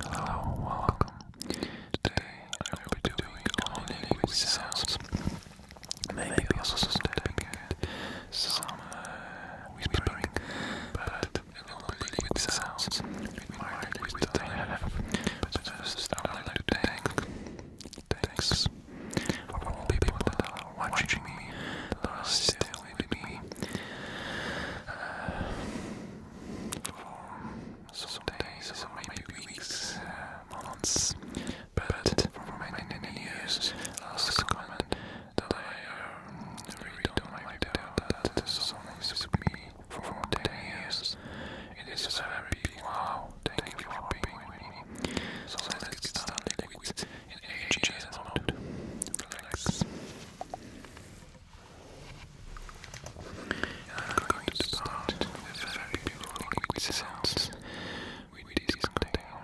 Hello, welcome. Today I will be doing only language sounds. Maybe also some tapping some uh, whispering, but only language sounds. It might be with I have, but first I would like thank. Thanks for all people that are watching me, that are still with me. Uh, for some days, or weeks, uh, months, but for many, many years, last comment that I um, really don't that, that song is with for 10 years. It is a very big wow, thank you for being So let's get started with an HGS mode. Relax. I'm going to start with a very beautiful liquid sounds with this container.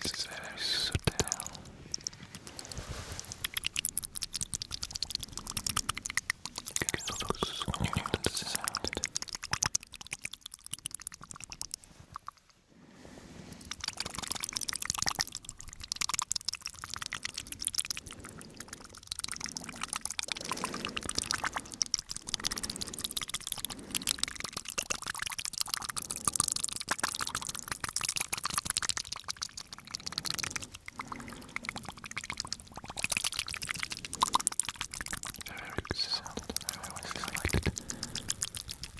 This is very subtle. You can focus on the sound. Very good sound. I always liked it.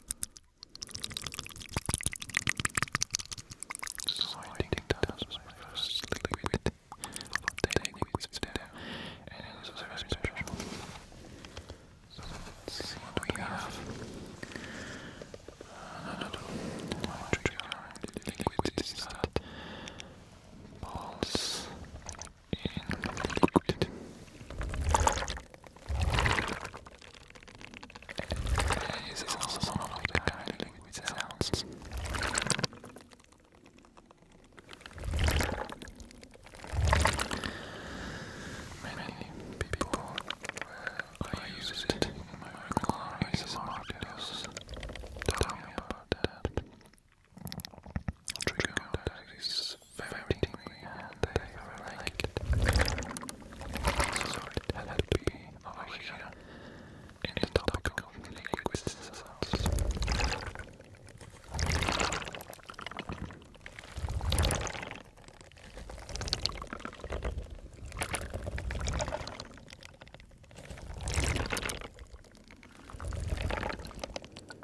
So, so I think that, that was my first liquid take with video, and it was very special. So let's see what we have. Uh, no, no, no. My trigger liquid is that balls this is also one of the kind language sounds. Many people were uh, I use it in my regular ASMR videos. Tell me about that. Trigger that is very tingly all day or night. So it had to be over here in the topic of liquid sounds.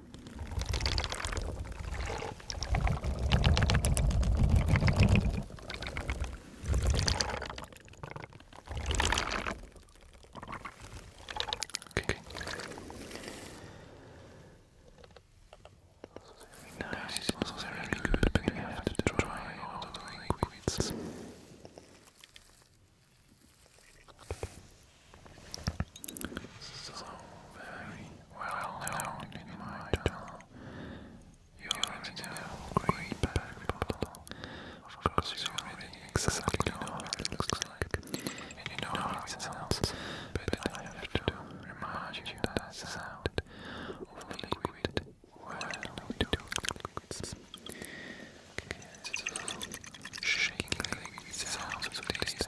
Okay. Nice. It was very good, but we have to try all the liquids. So very well known in my you already know green bottle. Of you already exactly know what it looks like. And you know how it sounds, but I have to remind you that the sound of liquid well we do liquids. Okay, it's shaking liquid sounds of taste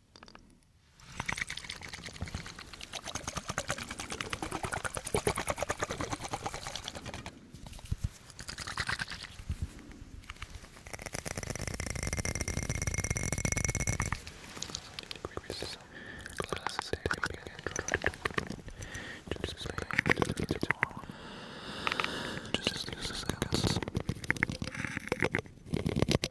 Just use this, I guess.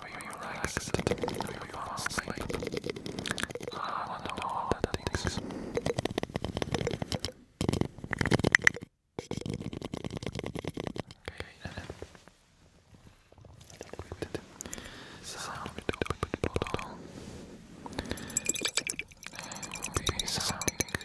Will you relax? Will you fall asleep? I want to know all the things. Okay, then. Sound bottle. It will be something different.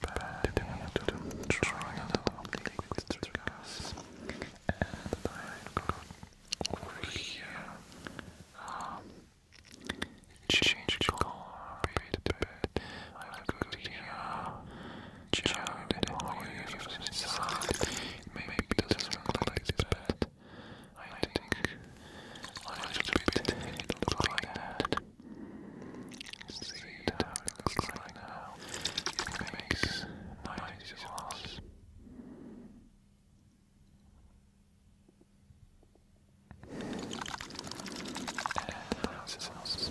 Back to the triangle of liquid gas. And I've got over here. Um, change color bit a bit. I've got here. Child and oil Maybe it not look like bad. I think a little bit it looks like that. See it how it looks like now. It makes nice glass. And that's sauce.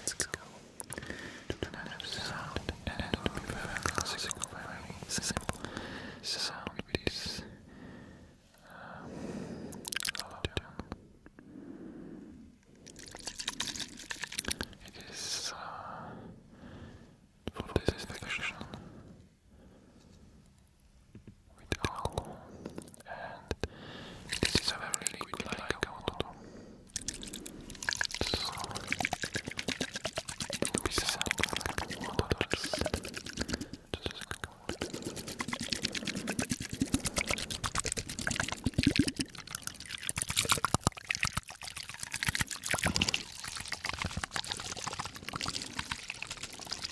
Let's go. To another sound, and it will be very classical, very sound It is uh, for this infection with alcohol, and this is a very liquid-like alcohol. So, it will be something like water. Just go.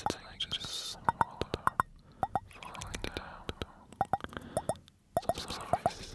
It's like just water falling down. Some surface.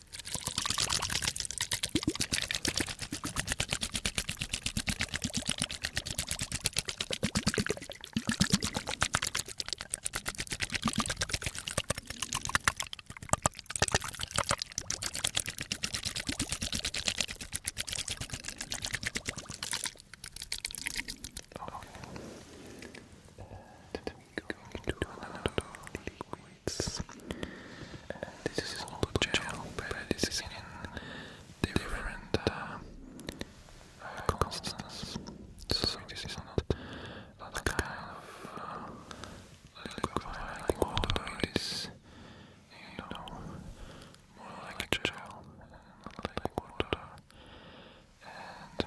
Okay. And then we go into another liquid weeks. this is not a channel, but it is in different uh, uh, constants. So this is not that kind of uh, liquid you know, more like gel, not like water. And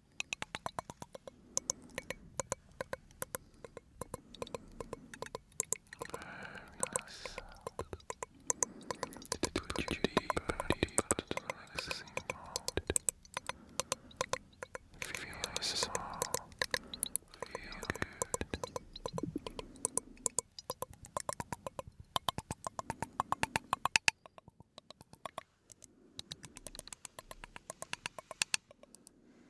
It took you deep and deeper to the relaxing mode. Feel small. Feel good.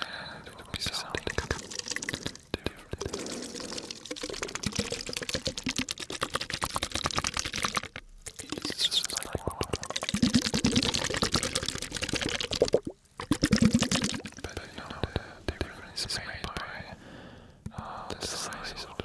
And it will be sounding different. It's just like water. But you know, the difference is made by uh, the size of the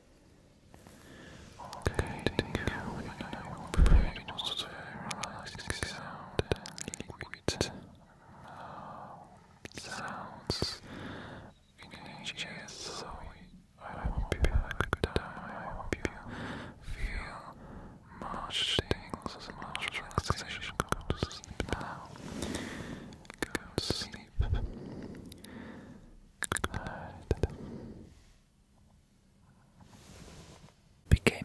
Okay, thank you. I hope it was a very relaxing sound and liquid sounds in HGS, so I hope you have a good time. I hope you feel much tingles, much relaxation. Go to sleep now. Go to sleep. Good.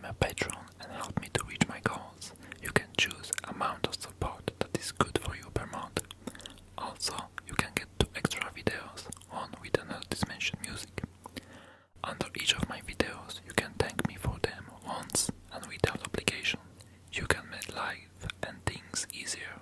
a patron and help me to reach my goals. You can choose amount of support that is good for you per month. Also, you can get two extra videos, on with an dimension music. Under each of my videos, you can thank me for them once and without obligation. You can make life and things easier.